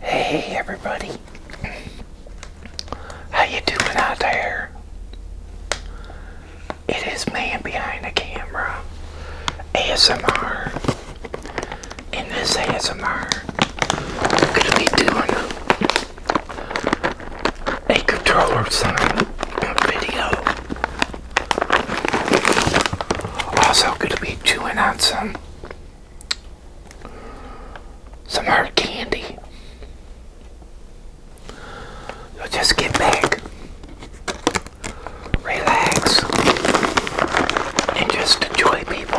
Hey everybody. How you doing out there? It is man behind the camera. ASMR. and this ASMR, gonna be doing a controller sign video. Also gonna be chewing some some hard candy. just get back, relax, and just enjoy people.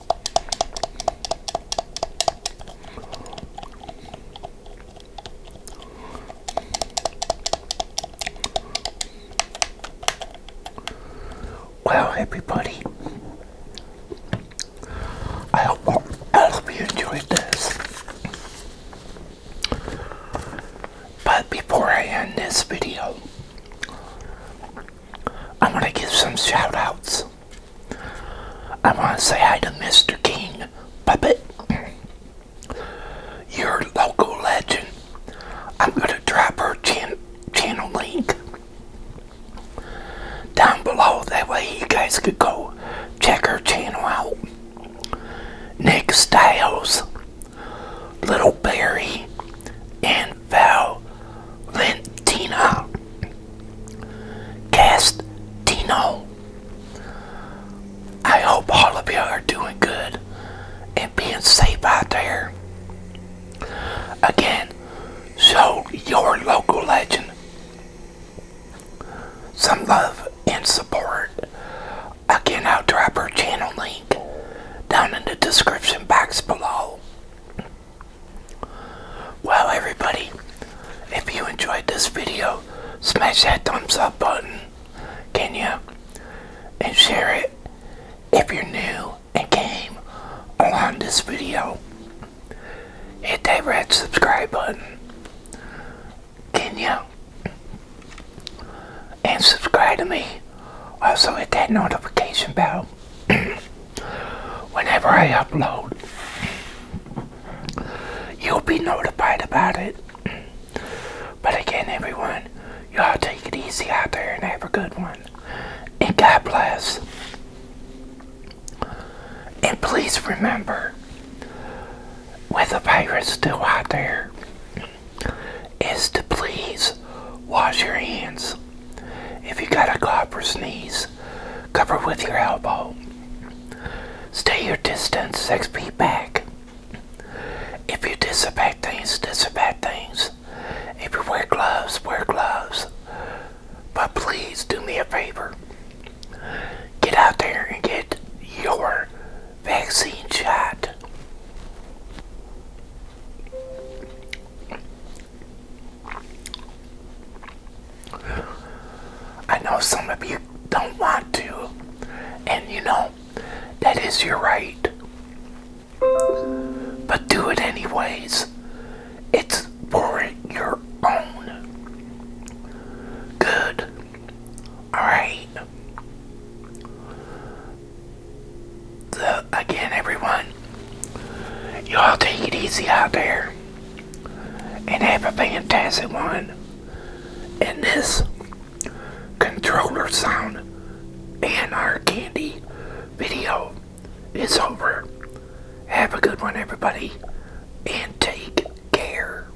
Well, everybody, I hope, I hope you enjoyed this. But before I end this video, I want to give some shout outs. I want to say hi to Mr. King Puppet, your local legend. I'm going to drop her channel link down below. That way you guys could go check her channel out. Nick Styles, Little Barry, and Valentina Castino. I hope all of you are doing good and being safe out there. Again, show your local legend some love and support. Again, I'll drop her channel link down in the description box below. Well, everybody, if you enjoyed this video, smash that thumbs up button, can you? And share it if you're new and came on this video. Hit that red subscribe button, can you? and subscribe to me. Also, hit that notification bell whenever I upload. You'll be notified about it. But again, everyone, y'all take it easy out there and have a good one. And God bless. And please remember, with the virus still out there, is to please wash your hands. If you got a cough or sneeze, cover with your elbow. Stay your distance six feet back. If you disinfect things, disinfect things. If you wear gloves, wear gloves. But please do me a favor. Get out there and get your vaccine shot. I know some of you don't want to, and you know, that is your right. But do it anyways. It's for your own good. Alright? So, again, everyone, y'all take it easy out there and have a fantastic one. And this controller sound and our candy video is over. Have a good one, everybody, and take care.